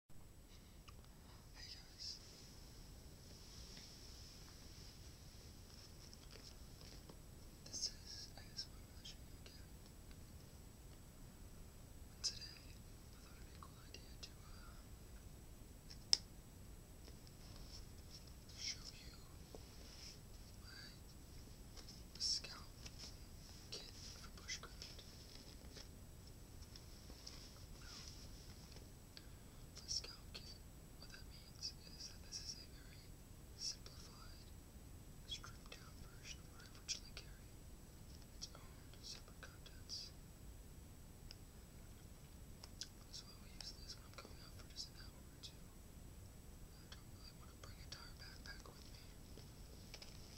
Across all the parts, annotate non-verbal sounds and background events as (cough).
Hey guys. This is I guess my version again. today I thought it'd be a cool idea to show you my Scout kit for bushcraft. The scalp kit, what that means is that this is a very simplified, stripped down version of what I originally carried. Its own separate contents. So I will use this when I'm going out for just an hour or two. I don't really want to bring a entire backpack with me.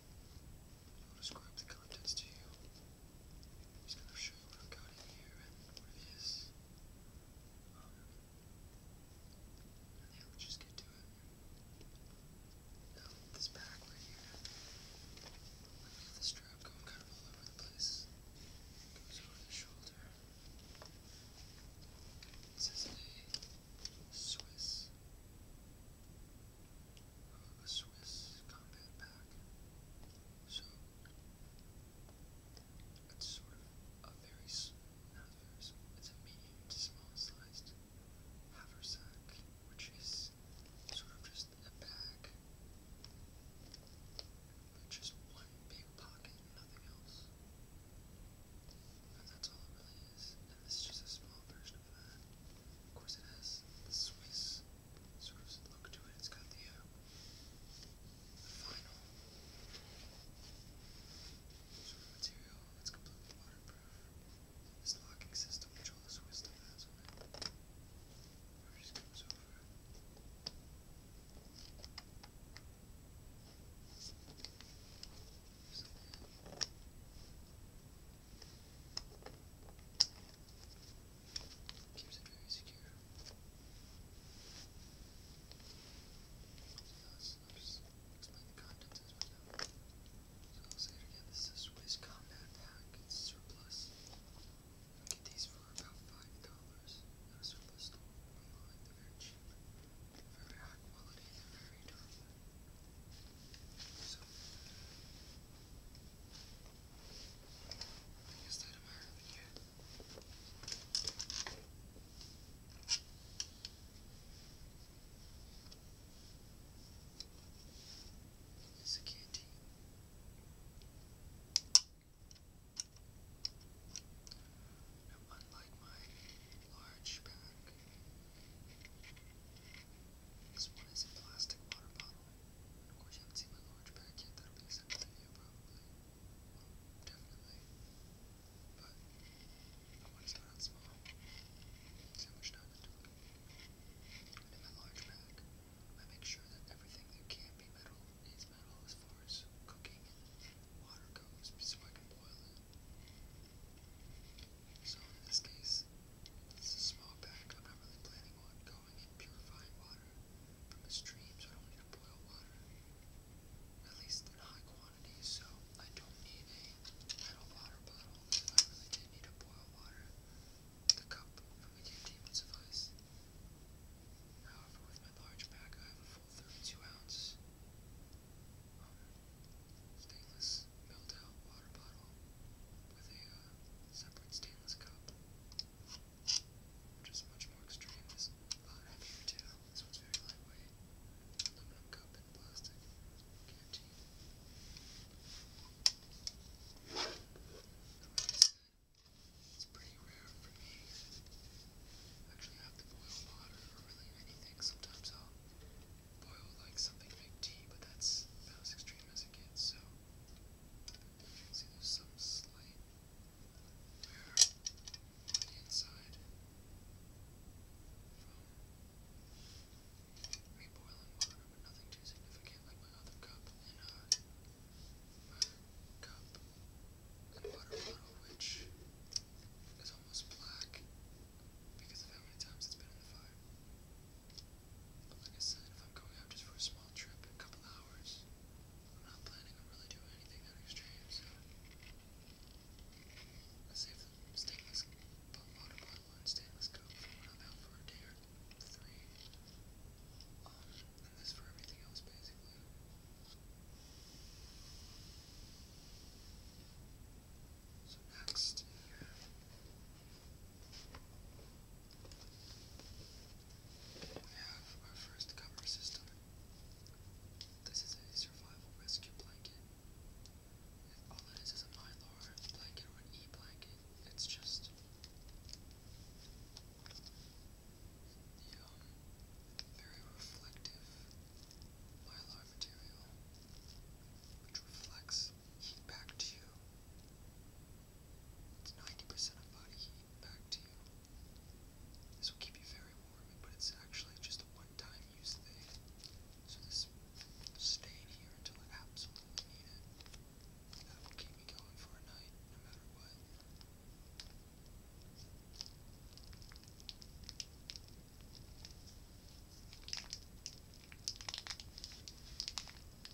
I'll describe the contents to you. I'm just gonna show you what I've got in here and what it is. Um, yeah, we'll just get to it. Now, this pack right here, I have the strap going kind of all over the place. It goes over the shoulder. This is a Swiss a Swiss combat pack. So it's sort of a very small, it's a medium small sized haversack, which is sort of just a bag with just one big pocket nothing else. And that's all it really is. And this is just a small version of that. Of course, it has the Swiss sort of look to it. It's got the, uh, the final sort of material that's completely waterproof. This locking system, which all this wisdom has on it, it just comes over. There's a little Keeps it very secure. So I'll just explain the contents as we go. So I'll say it again. This is a Swiss combat pack. It's surplus. You get these for about five dollars at a surplus store online. They're very cheap. They're very high quality. They're very durable. So. I guess that tomorrow, yeah. It's a candy. Now, unlike my large pack, this one is a plastic water bottle. Or if you haven't my large pack that'll be the second video definitely. But I want to start small. See much time it in my large pack, I make sure that everything that can be metal is metal as far as cooking water goes so I can boil it. So in this case, this is a small bag. I'm not really planning on going and purifying water from a stream, so I don't need to boil water. At least in high quantities, so I don't need a metal water bottle. If I really did need to boil water, the cup from a canteen would suffice. However, with my large bag, I have a full 32 ounce um, stainless this water bottle with a separate stainless cup, which is much more extreme. This a lot heavier too. This one's very lightweight. Aluminum cup and plastic canteen. it's pretty rare for me. Actually, to boil water or really anything. Sometimes I'll boil like something to tea, but that's about as extreme as it gets. So See, there's some slight wear on the inside from reboiling water, but nothing too significant like my other cup. And uh, my cup and water bottle, which is almost black because of how many times it's been in the fire. But like I said, if I'm going out just for a small trip, a couple hours, I'm not planning on really doing anything that extreme, so I save the stainless water bottle and stainless cup for when I'm out for a day or three. Um, and this for everything else, basically. So next, here, we have our first cover system. This is a survival rescue blanket. All it is is a mylar blanket or an e blanket. It's just very reflective mylar material, which reflects heat back to you. It's 90% of body heat back to you. This will keep you very warm, but it's actually just a one-time use thing. So this will stay in here until I absolutely need it. That will keep me going for a night, no matter what.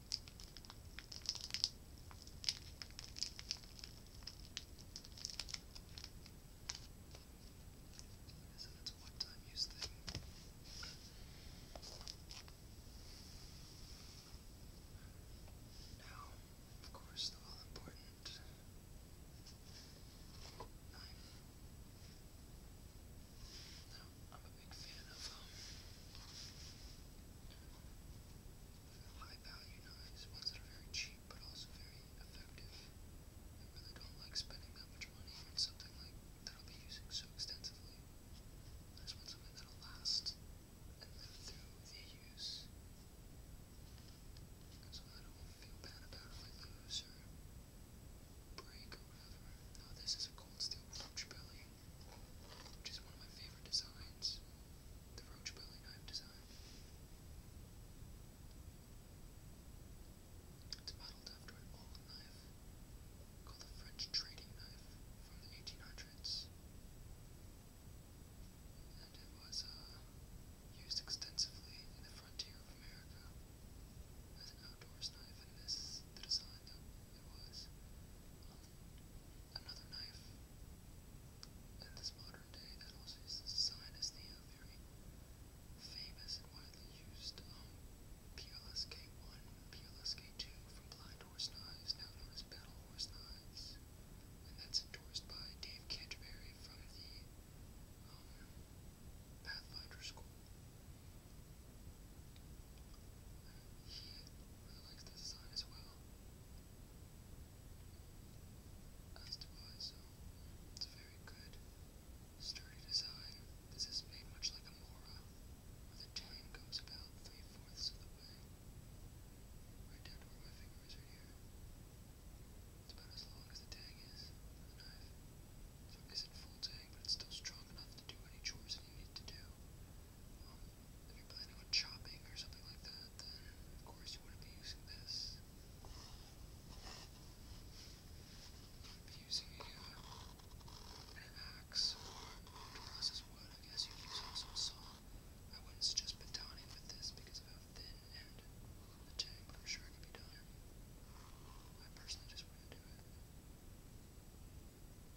As if it's a one-time use thing. Now, of course, the all-important knife. Now, I'm a big fan of um, high value knives, ones that are very cheap but also very effective. I really don't like spending that much money on something like that will be using so extensively. I just want something that'll last and live through the use. So I don't feel bad about if I break or whatever. No, this is a cold steel roach belly which is one of my favorite designs, the roach belly knife design. It's modeled after an old knife called the French trading knife from the 1800s, and it was uh, used extensively in the frontier of America as an outdoors knife, and this design it was Another knife. In this modern day, that also is sign as the uh, very famous and widely used PLSK1, um, PLSK2 from Blind Horse Knives, now known as Battle Horse Knives. And that's endorsed by Dave Canterbury from the um, Pathfinder He really likes this design as well as to why, a very good, sturdy design. This is made much like a Mora, where the tang goes about three-fourths of the way, right down to where my fingers are here. It's about as long as the tang is on the knife. So it isn't full tang, but it's still strong enough to do any chores that you need to do if you're planning on chopping or something like that, then of course you wouldn't be using this. You would be using a, uh, an axe or to process wood. I guess you'd also saw. I wouldn't suggest batoning with this because of how thin and the tang, but I'm sure it could be done. I personally just wouldn't do it.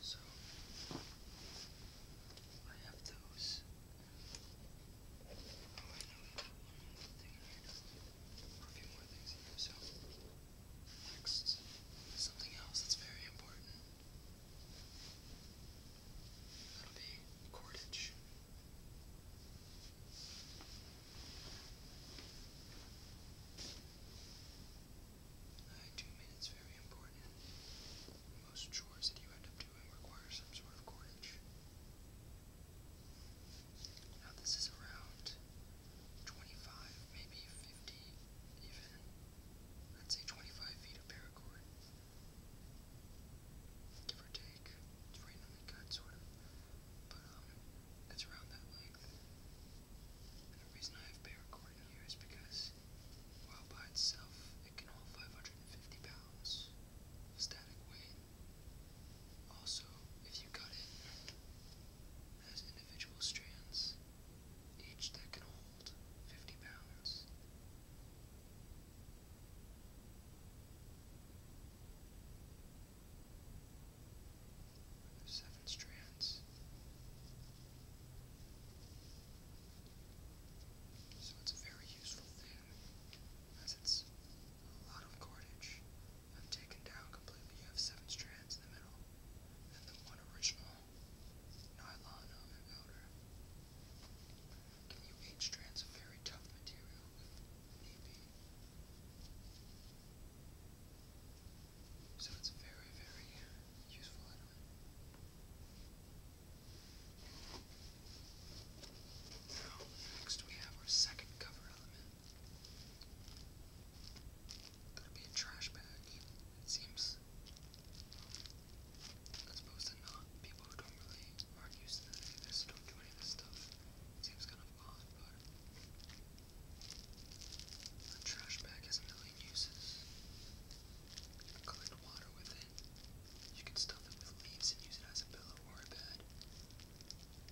So I have those so, next, something else that's very important. That'll be cordage. I do mean it's very important. Most chores that you end up doing requires some sort of coinage. Now this is around 25, maybe 50 even. Let's say 25 feet of paracord. Give or take. It's randomly cut, sort of. But, um, it's around that length. And the reason I have paracord in here is because, while by itself, it can hold 550 pounds of static weight. Also, if you cut it, it has individual strands, each that can hold 50 pounds. There's seven strands. So it's a very useful thing, as it's a lot of cordage. I've taken down completely. You have seven strands in the middle, and the one original nylon outer. Give you eight strands of very tough material if So it's very, very useful now, next we have our second cover element. Gonna be a trash bag, it seems. As opposed to not people who don't really aren't used to any of this, don't do any of this stuff. It seems kind of odd, but a trash bag has a million uses. You can collect water with it. You can stuff it with leaves and use it as a pillow or a bed.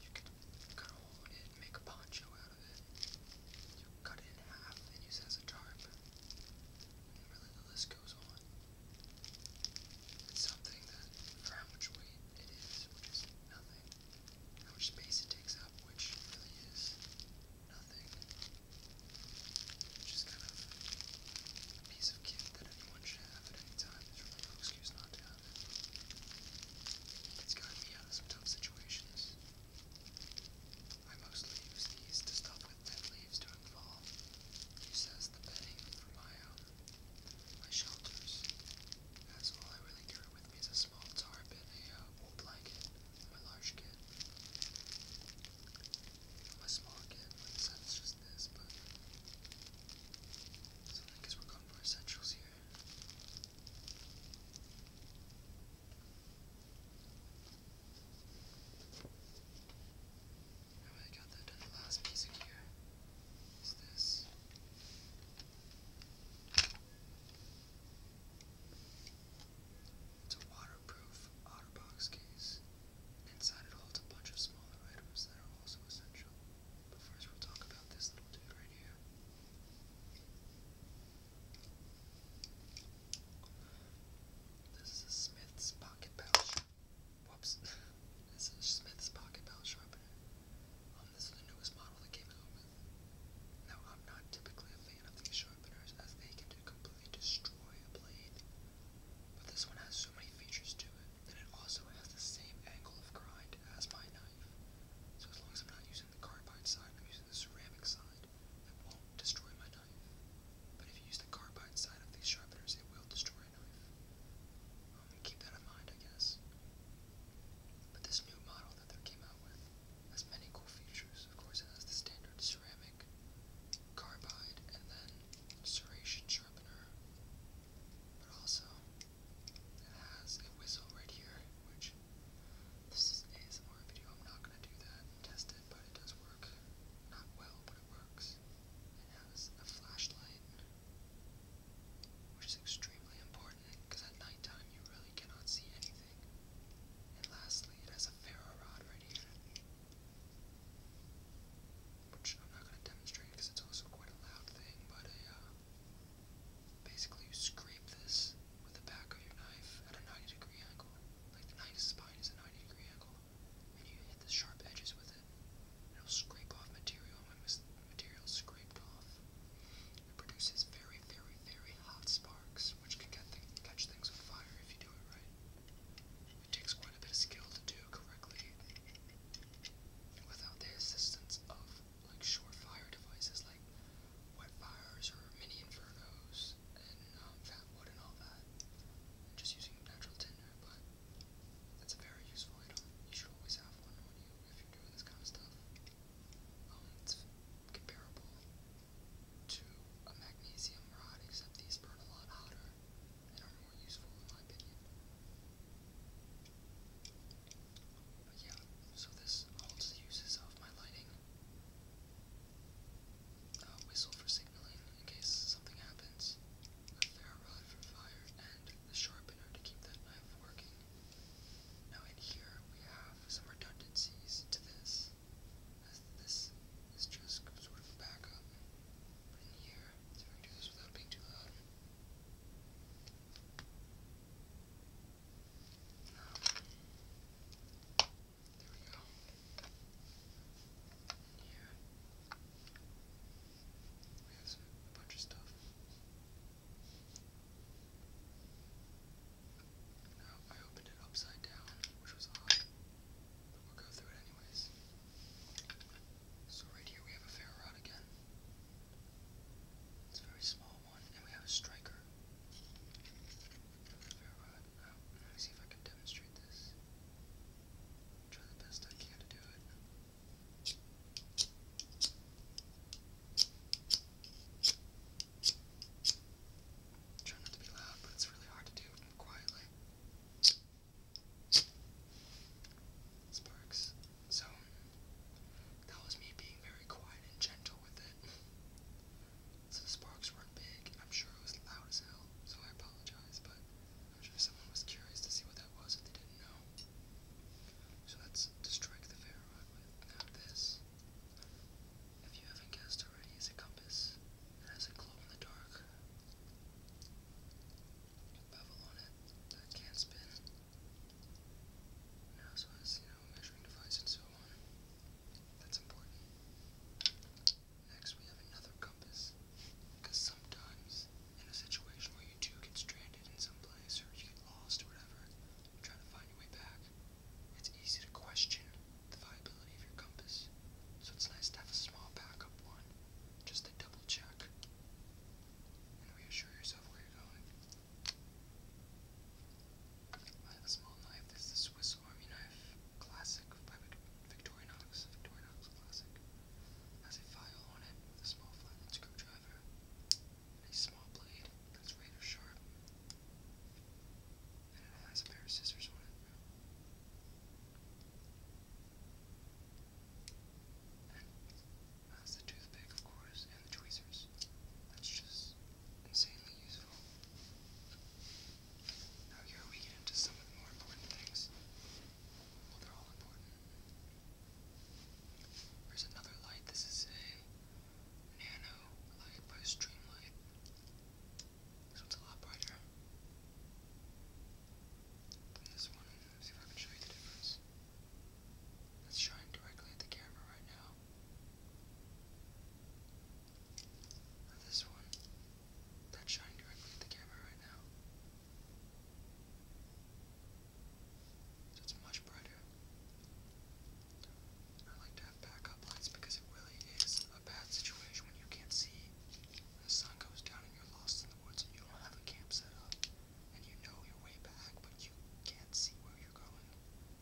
You can cut it and make a poncho out of it. You cut it in half and use as a tarp. And really the list goes on. It's something that, for how much weight it is, which is nothing, how much space it takes up, which really is nothing, which is kind of a piece of kit that anyone should have at any time. There's really no excuse not to have it. It's gotten me out of some tough situations. I mostly use these to stuff with dead leaves during fall. Use as the bedding for my um, my shelters. That's all I really carry with me is a small tarp a uh, blanket. My large kit. I'm a small kid, my son just this, but. So I guess we're going for essentials here. I got that last piece of gear is this. It's a waterproof OtterBox case. Inside it holds a bunch of smaller items that are also essential. But first we'll talk about this little dude right here. This is a Smith's pocket pouch. Whoops. (laughs) this is a Smith's pocket pouch sharpener. Um, this is the newest model they came out with. Now, I'm not typically a fan of these sharpeners as they can completely destroy a blade. But this one has so many features to it, and it also has the same angle of grind as my knife. So as long as I'm not using the carbide side, I'm using the ceramic side, it won't destroy my knife. But if you use the carbide side of these sharpeners, it will destroy a knife. Um, keep that in mind, I guess. But this new model that they came out with has many cool features. Of course, it has the standard ceramic carbide, and then serration sharpener. But also, it has a whistle right here, which this is an ASMR video. I'm not gonna do that and but it does work. Not well, but it works. It has a flashlight, which is extremely important because at nighttime you really cannot see anything. And lastly, it has a ferro rod right here. Which I'm not going to demonstrate because it's also quite a loud thing, but uh, basically you scrape this with the back of your knife at a 90 degree angle. Like the knife's spine is a 90 degree angle, and you hit the sharp edges with it. And it'll scrape off material, and when material's scraped off, it produces very, very, very hot sparks, which can catch things on fire if you do it right. It takes quite a bit of skill to do correctly without the assistance of like short fire devices like wet fires or mini infernos and um, fat wood and all that. just using natural tinder, but it's a very useful item. You should always have one when you if you're doing this kind of stuff. Um, it's comparable to a magnesium rod, except these burn a lot hotter that are so this holds the uses of my lighting. A whistle for signaling in case something happens. A ferro rod for fire and the sharpener to keep that knife working. Now in here we have some redundancies to this, as this is just sort of backup in here. So I do this without being too loud. No. There we go. In here. We have some, a bunch of stuff. Now I opened it upside down, which was odd. So right here we have a fair rod again. It's very small one, and we have a striker. Fair rod. Oh, let me see if I can demonstrate this. Try the best I can to do it. Try not to be loud, but it's really hard to do quietly sparks. So that was me being very quiet and gentle with it. So the sparks weren't big. I'm sure it was loud as hell, so I apologize, but I'm sure someone was curious to see what that was if they didn't know. So let's strike the ferroid with now this. If you haven't guessed already, is a compass has a glow in the dark bevel on it that can spin. Now so has, you know, a measuring device and so on. That's important. Next we have another compass. Because sometimes in a situation where you do get stranded in some place or you get lost or whatever, trying to find your way back. It's easy to question the viability of your compass. So it's nice to have a small backup one just to double check and reassure yourself where you're going. I have a small knife. This the Swiss Army Knife Classic by Victorinox. Victorinox Classic. Has a file on it a small flattened screwdriver and a small blade that's razor sharp. And it has a pair of scissors on it. That's the toothpick, of course, and the tweezers. That's just insanely useful. Now here we get into some of the more important things. Well, they're all important. There's another light. This is a nano light by Streamlight. This one's a lot brighter this one. see if I can show you the difference. It's shining directly at the camera right now. this one, that's shining directly at the camera right now. So it's much brighter. I like to have backup lights because it really is a bad situation when you can't see. The sun goes down and you're lost in the woods and you don't have a camp set up. And you know your way back, but you can't see where you're going.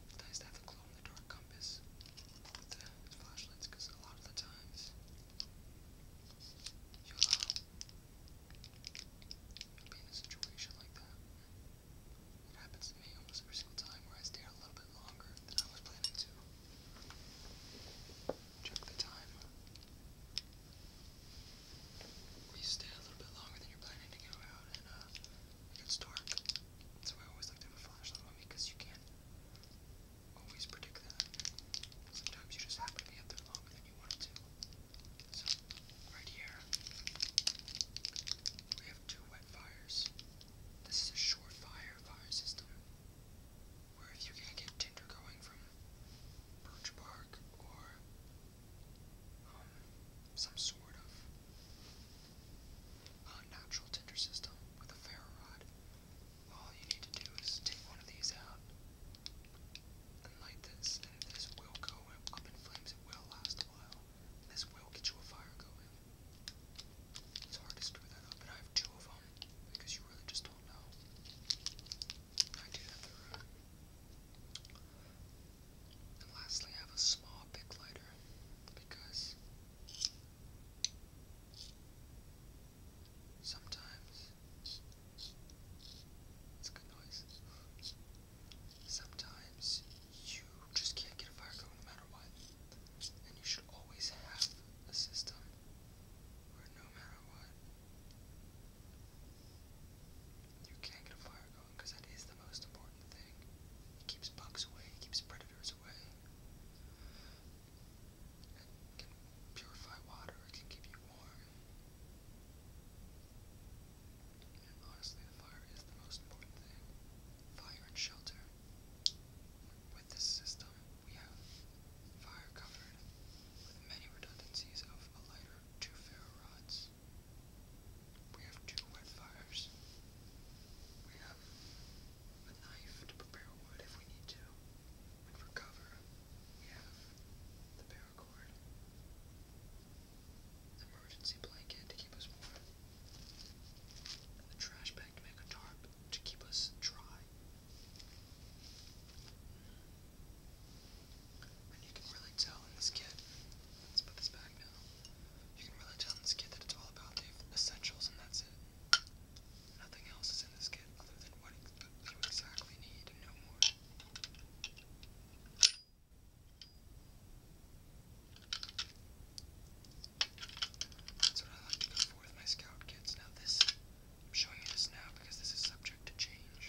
It's nice to have a glow in the dark compass with the flashlights because a lot of the times you'll, uh, you'll be in a situation like that. It happens to me almost every single time where I stay out a little bit longer than I was planning to. Check the time. We stay a little bit longer than you're planning to go out, and uh, it gets dark. That's I always like to have a flashlight because you can't always predict that. Sometimes you just happen to be up there longer than you wanted to. So, right here, we have two wet fires. This is a short fire fire system where if you're going get Tinder going from Birch Park or um, some sort of uh, natural Tinder system with a ferro rod, all you need to do is take one of these out and light this, and this will go up in flames. It will last a while. This will get you a fire going. It's hard to screw that up, and I have two of them because you really just don't know. And lastly, have a small big lighter because sometimes it's a good noise. Sometimes you just can't get a fire going no matter what, and you should always have a system come, no matter what. You can't get a fire going because that is the most important thing. It keeps bugs away, it keeps predators away. It can purify water, it can keep you warm. And honestly, the fire is the most important thing. Fire and shelter. With this system, we have fire covered with many redundancies of lighter, two rods. We have two wet fires. We have a knife to prepare wood if we need to. for cover, we have the paracord. Emergency blanket to keep us warm. The trash bag to make a tarp to keep us dry you can really tell in this kid, let's put this back now, you can really tell in this kid that it's all about essentials and that's it. Nothing else is in this kit other than what you exactly need no more. That's what I like to go for with my scout kits. Now this I'm showing you this now because this is subject to change.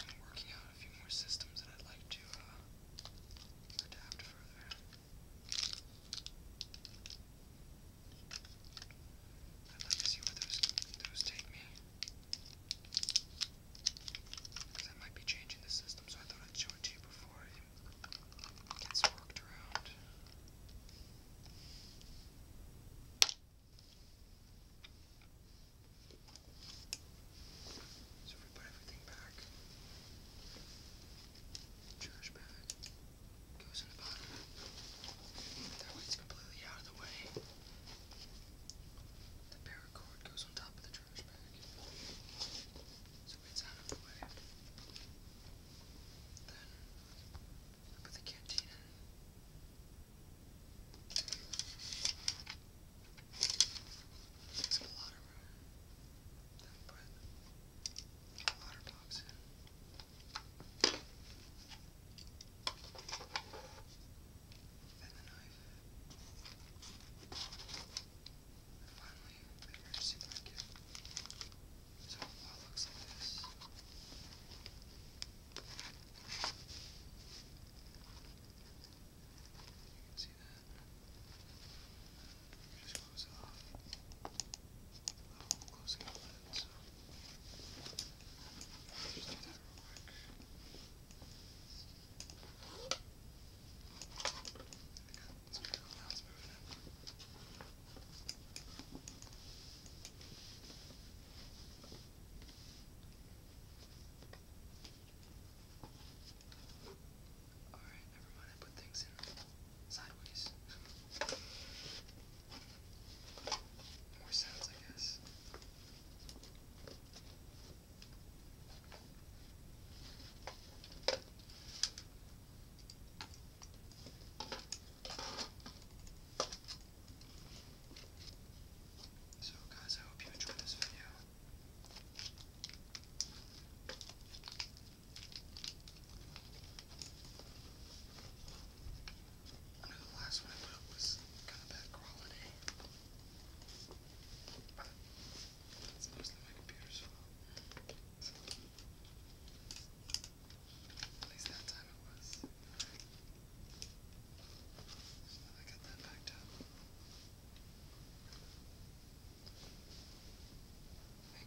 I'm working out a few more systems that I'd like to uh, adapt further. I'd like to see where those, those take me. Because I might be changing the system, so I thought I'd show it to you before it gets worked around. So if we put everything back, trash bag goes in the bottom. That way it's completely out of the way. The paracord goes on top of the trash bag. So it's out of the way. Then Put the canteen in. Takes up a lot of room. Then put a water box in. Then the knife. And finally, the emergency blanket. So it looks like this. You can see that. Let me just close it off. Oh, closing all that, so. Just do that real quick. I got this miracle now, it's moving in. Alright, never mind, I put things in sideways. More sounds, I guess. So guys, I hope you enjoyed this video. I know the last one I put up was kind of bad quality, but that's mostly my computer's fault. So. Thank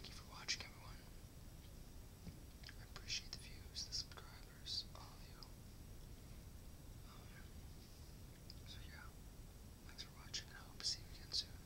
you for watching, everyone. I appreciate the views, the subscribers, all of you. Um, so yeah, thanks for watching. I hope to see you again soon.